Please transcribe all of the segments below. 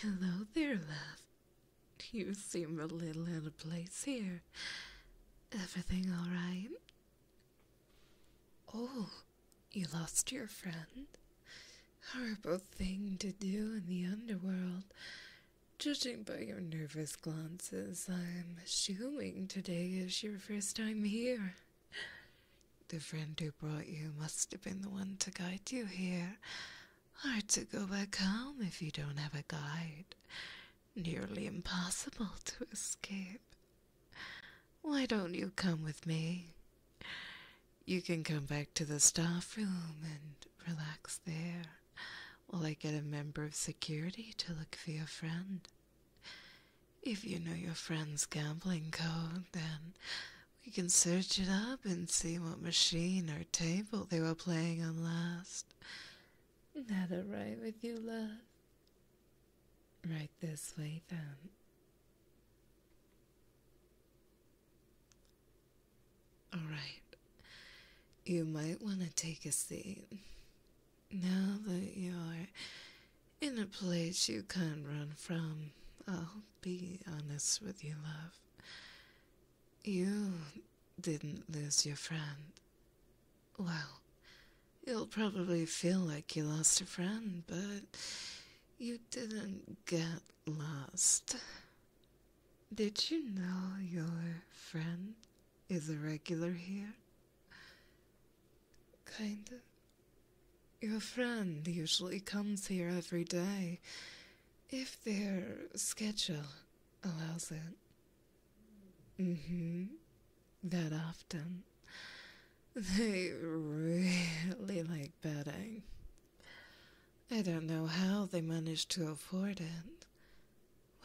Hello there, love. You seem a little out of place here. Everything all right? Oh, you lost your friend? Horrible thing to do in the underworld. Judging by your nervous glances, I'm assuming today is your first time here. The friend who brought you must have been the one to guide you here. or to go back home if you don't have a guide. Nearly impossible to escape. Why don't you come with me? You can come back to the staff room and relax there while I get a member of security to look for your friend. If you know your friend's gambling code, then we can search it up and see what machine or table they were playing on last. That right with you, love? Right this way, then. Alright. You might want to take a seat. Now that you're in a place you can't run from, Oh be honest with you, love. You didn't lose your friend. Well, you'll probably feel like you lost a friend, but you didn't get lost. Did you know your friend is a regular here? Kinda. Your friend usually comes here every day, if their schedule allows it. Mm-hmm. That often. They really like betting. I don't know how they manage to afford it.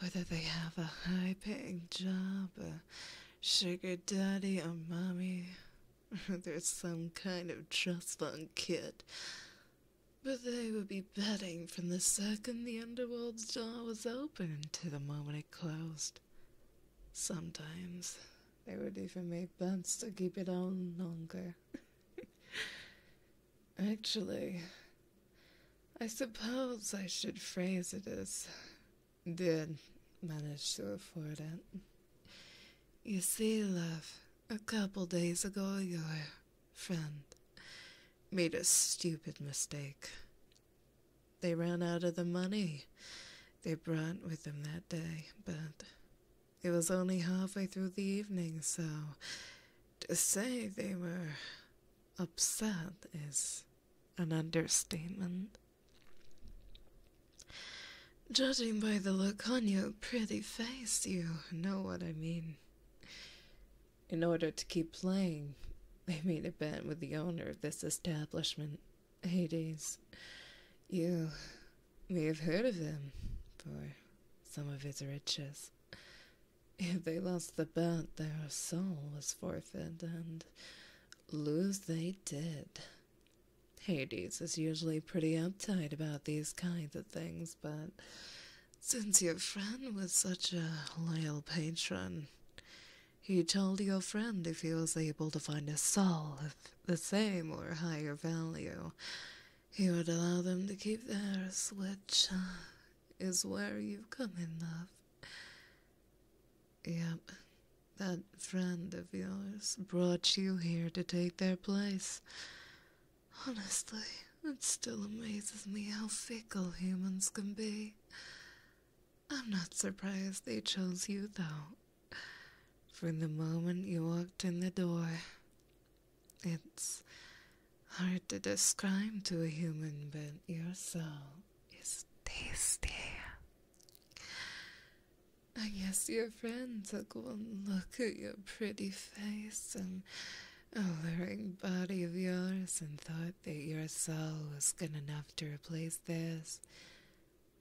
Whether they have a high paying job, a sugar daddy, or mommy, There's some kind of trust fund kid. But they would be betting from the second the underworld's door was open to the moment it closed. Sometimes they would even make bets to keep it on longer. Actually, I suppose I should phrase it as did manage to afford it. You see, love, a couple days ago your friend made a stupid mistake. They ran out of the money they brought with them that day, but it was only halfway through the evening, so to say they were upset is an understatement. Judging by the look on your pretty face, you know what I mean. In order to keep playing, they made a bet with the owner of this establishment, Hades. You may have heard of him for some of his riches. If they lost the bet, their soul was forfeit, and lose they did. Hades is usually pretty uptight about these kinds of things, but since your friend was such a loyal patron, he told your friend if he was able to find a soul of the same or higher value, he would allow them to keep theirs, which uh, is where you have come in, love. Yep, that friend of yours brought you here to take their place. Honestly, it still amazes me how fickle humans can be. I'm not surprised they chose you, though. From the moment you walked in the door, it's hard to describe to a human, but your soul is tasty. I guess your friend took one look at your pretty face and alluring body of yours and thought that your soul was good enough to replace theirs.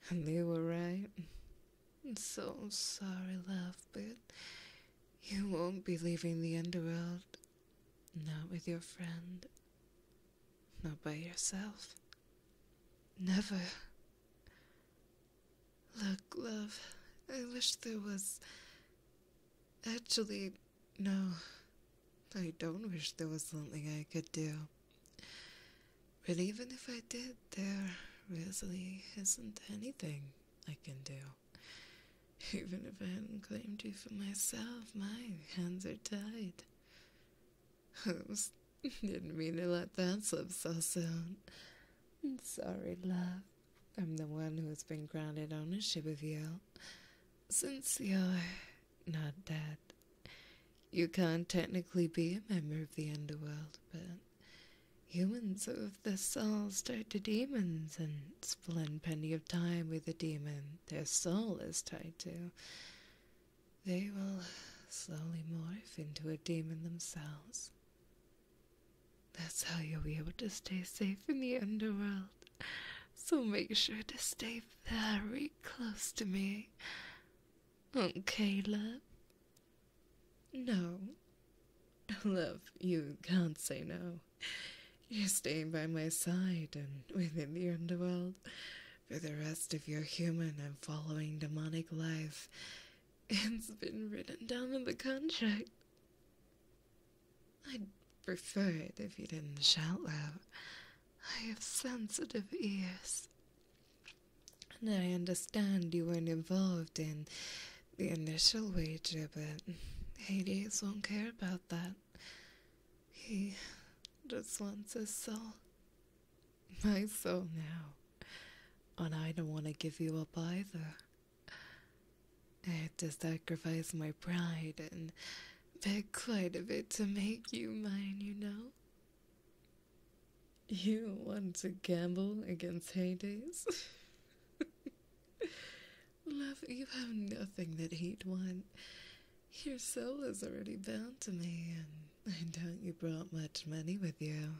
And they were right. I'm so sorry, love, but you won't be leaving the underworld. Not with your friend. Not by yourself. Never. Look, love, I wish there was. Actually, no. I don't wish there was something I could do. Really, even if I did, there really isn't anything I can do. Even if I hadn't claimed you for myself, my hands are tied. Oops, didn't mean to let that slip so soon. I'm Sorry, love. I'm the one who's been grounded on a ship of you. Since you're not dead, you can't technically be a member of the underworld, but humans of the soul tied to demons and spend plenty of time with a demon their soul is tied to. They will slowly morph into a demon themselves. That's how you'll be able to stay safe in the underworld. So make sure to stay very close to me. Okay, love? No. Love, you can't say no. You're staying by my side and within the underworld for the rest of your human and following demonic life. It's been written down in the contract. I'd prefer it if you didn't shout loud. I have sensitive ears. And I understand you weren't involved in the initial wager, but Hades won't care about that. He just wants a soul. my soul now, and I don't want to give you up either. I had to sacrifice my pride and beg quite a bit to make you mine, you know. You want to gamble against Hades? Love, you have nothing that he'd want. Your soul is already bound to me, and I doubt you brought much money with you.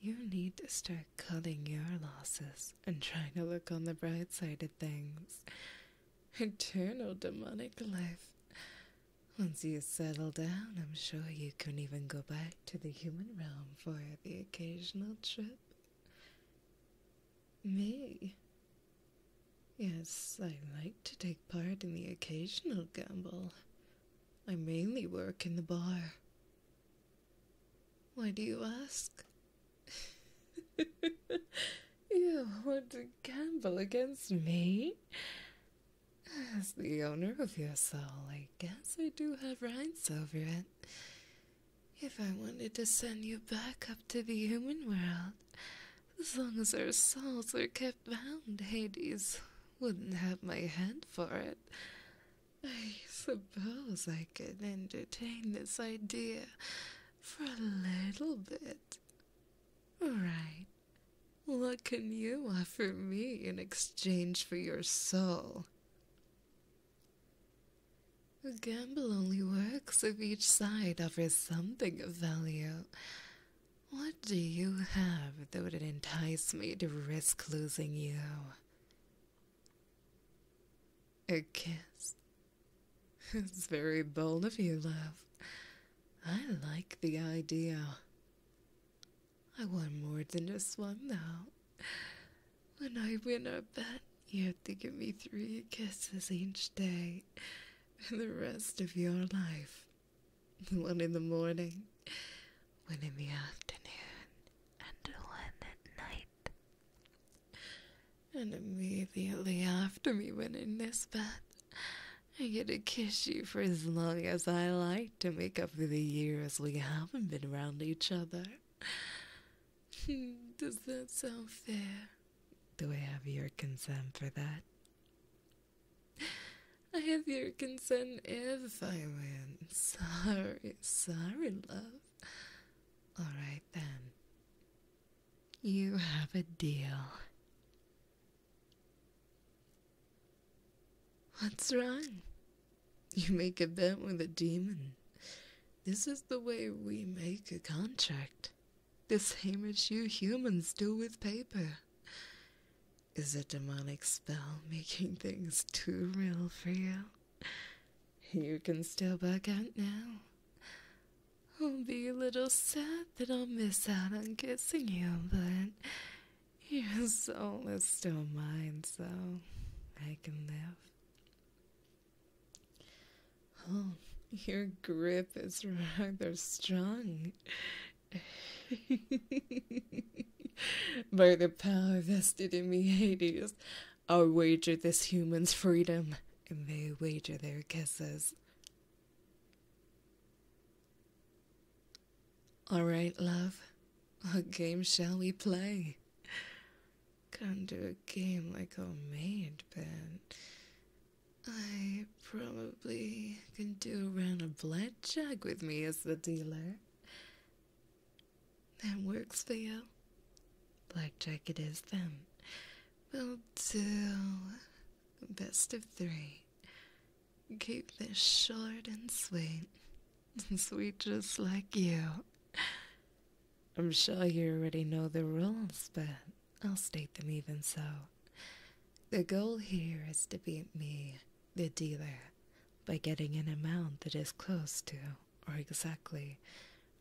You need to start cutting your losses and trying to look on the bright side of things. Eternal demonic life. Once you settle down, I'm sure you can even go back to the human realm for the occasional trip. Me? Yes, I like to take part in the occasional gamble. I mainly work in the bar. Why do you ask? you want to gamble against me? As the owner of your soul, I guess I do have rights over it. If I wanted to send you back up to the human world, as long as our souls are kept bound, Hades wouldn't have my hand for it. I suppose I could entertain this idea for a little bit. Right. What can you offer me in exchange for your soul? A gamble only works if each side offers something of value. What do you have that would entice me to risk losing you? A kiss? It's very bold of you, love. I like the idea. I want more than just one, though. When I win a bet, you have to give me three kisses each day the rest of your life. One in the morning, one in the afternoon, and one at night. And immediately after me when in this bed, I get to kiss you for as long as I like to make up for the years we haven't been around each other. Does that sound fair? Do I have your consent for that? I have your consent if I win. Sorry, sorry, love. Alright then. You have a deal. What's wrong? You make a bet with a demon. This is the way we make a contract. The same as you humans do with paper. Is a demonic spell making things too real for you? You can still bug out now. I'll be a little sad that I'll miss out on kissing you, but your soul is still mine, so I can live. Oh, your grip is rather strong. By the power vested in me, Hades, I'll wager this human's freedom, and they wager their kisses. All right, love. What game shall we play? Come to a game like old maid, but I probably can do a round of blackjack with me as the dealer. That works for you. Blackjack it is then. We'll do best of three. Keep this short and sweet. Sweet just like you. I'm sure you already know the rules, but I'll state them even so. The goal here is to beat me, the dealer, by getting an amount that is close to, or exactly,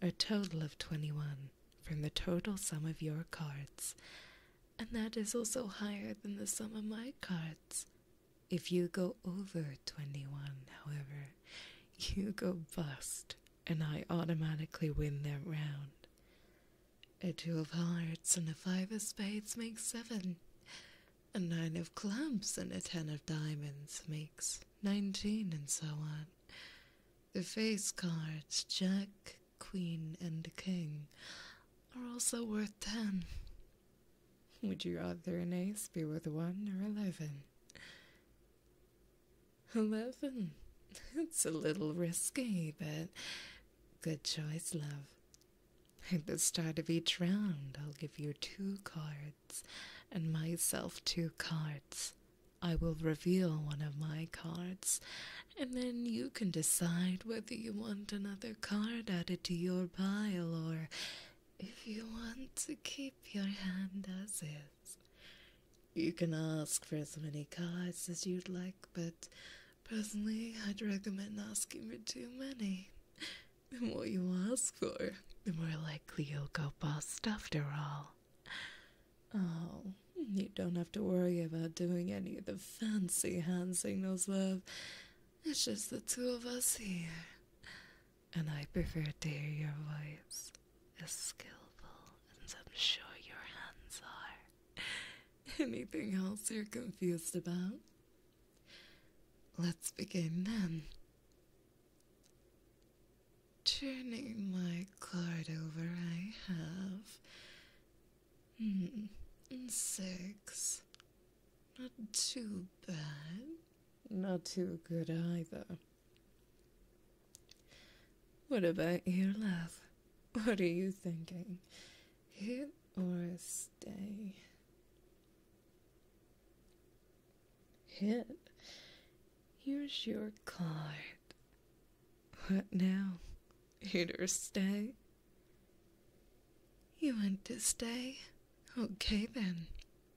a total of 21 from the total sum of your cards, and that is also higher than the sum of my cards. If you go over 21, however, you go bust, and I automatically win that round. A two of hearts and a five of spades make seven. A nine of clubs and a ten of diamonds makes nineteen, and so on. The face cards, Jack, Queen, and King, are also worth ten. Would you rather an ace be worth one or eleven? Eleven. It's a little risky, but good choice, love. At the start of each round, I'll give you two cards and myself two cards. I will reveal one of my cards, and then you can decide whether you want another card added to your pile or if you want to keep your hand as is. You can ask for as many cards as you'd like, but personally, I'd recommend asking for too many. The more you ask for, the more likely you'll go bust after all. Oh, you don't have to worry about doing any of the fancy hand signals, love. It's just the two of us here. And I prefer to hear your voice as skillful as I'm sure your hands are. Anything else you're confused about? Let's begin then. Turning my card over, I have. Hmm, six. Not too bad. Not too good either. What about your love? What are you thinking? Hit or stay? Hit. Here's your card. What now? Hit or stay? You want to stay? Okay then.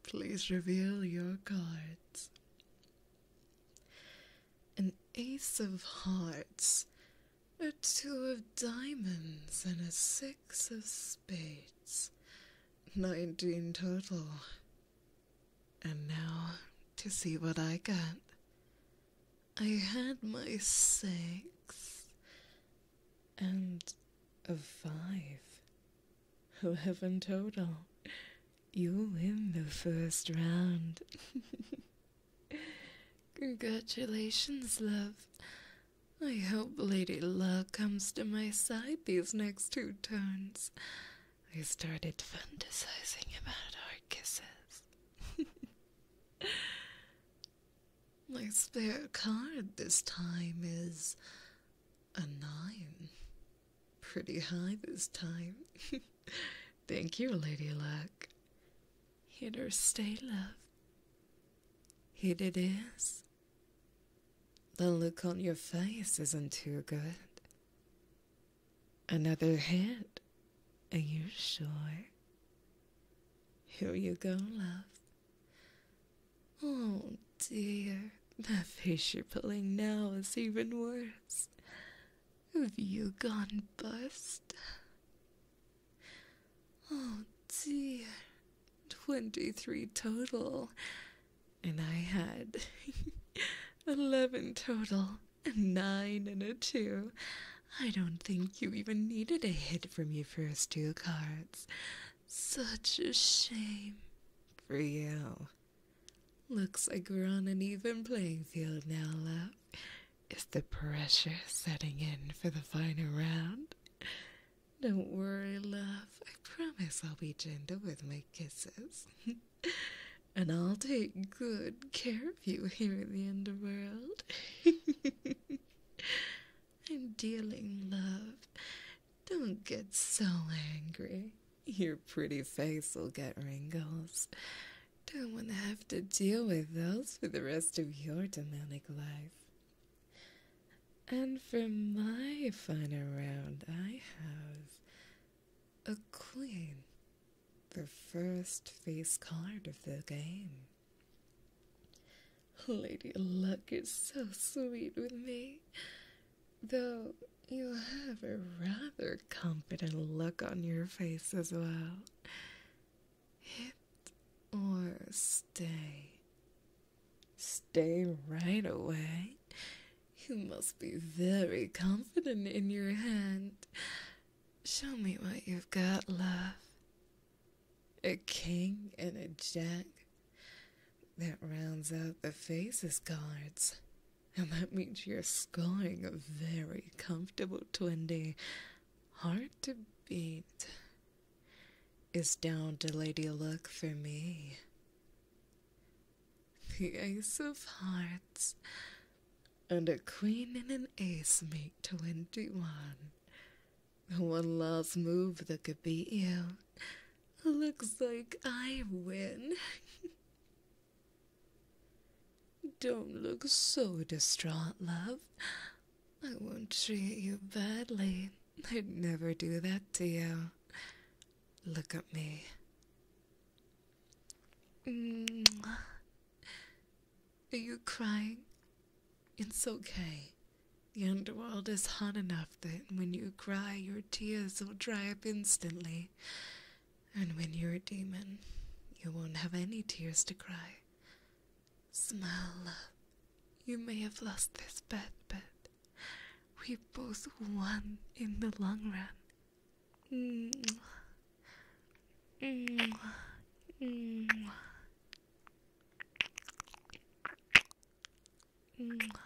Please reveal your cards an ace of hearts, a two of diamonds, and a six of spades. Nineteen total. And now to see what I got. I had my six and a five—eleven total. You win the first round. Congratulations, love. I hope Lady Luck comes to my side these next two turns. I started fantasizing about our kisses. my spare card this time is a nine. Pretty high this time. Thank you, Lady Luck. Hit or stay, love. Hit it is. The look on your face isn't too good. Another hit. Are you sure? Here you go, love. Oh dear, the face you're pulling now is even worse. Have you gone bust? Oh dear, 23 total, and I had 11 total, and 9 and a 2. I don't think you even needed a hit from your first two cards. Such a shame for you. Looks like we're on an even playing field now, love. Is the pressure setting in for the final round? Don't worry, love. I promise I'll be gentle with my kisses. and I'll take good care of you here in the underworld. I'm dealing, love. Don't get so angry. Your pretty face will get wrinkles. Don't want to have to deal with those for the rest of your demonic life. And for my final round, I have a queen, the first face card of the game. Lady Luck is so sweet with me though you have a rather confident look on your face as well. Hit or stay? Stay right away. You must be very confident in your hand. Show me what you've got, love. A king and a jack. That rounds out the faces cards and that means you're scoring a very comfortable 20. Hard to beat. It's down to Lady Luck for me. The Ace of Hearts and a Queen and an Ace make 21. One last move that could beat you. Looks like I win. Don't look so distraught, love. I won't treat you badly. I'd never do that to you. Look at me. Are you crying? It's okay. The underworld is hot enough that when you cry, your tears will dry up instantly. And when you're a demon, you won't have any tears to cry. Smile. love. You may have lost this bet, but we both won in the long run. Mm. Mm. Mm.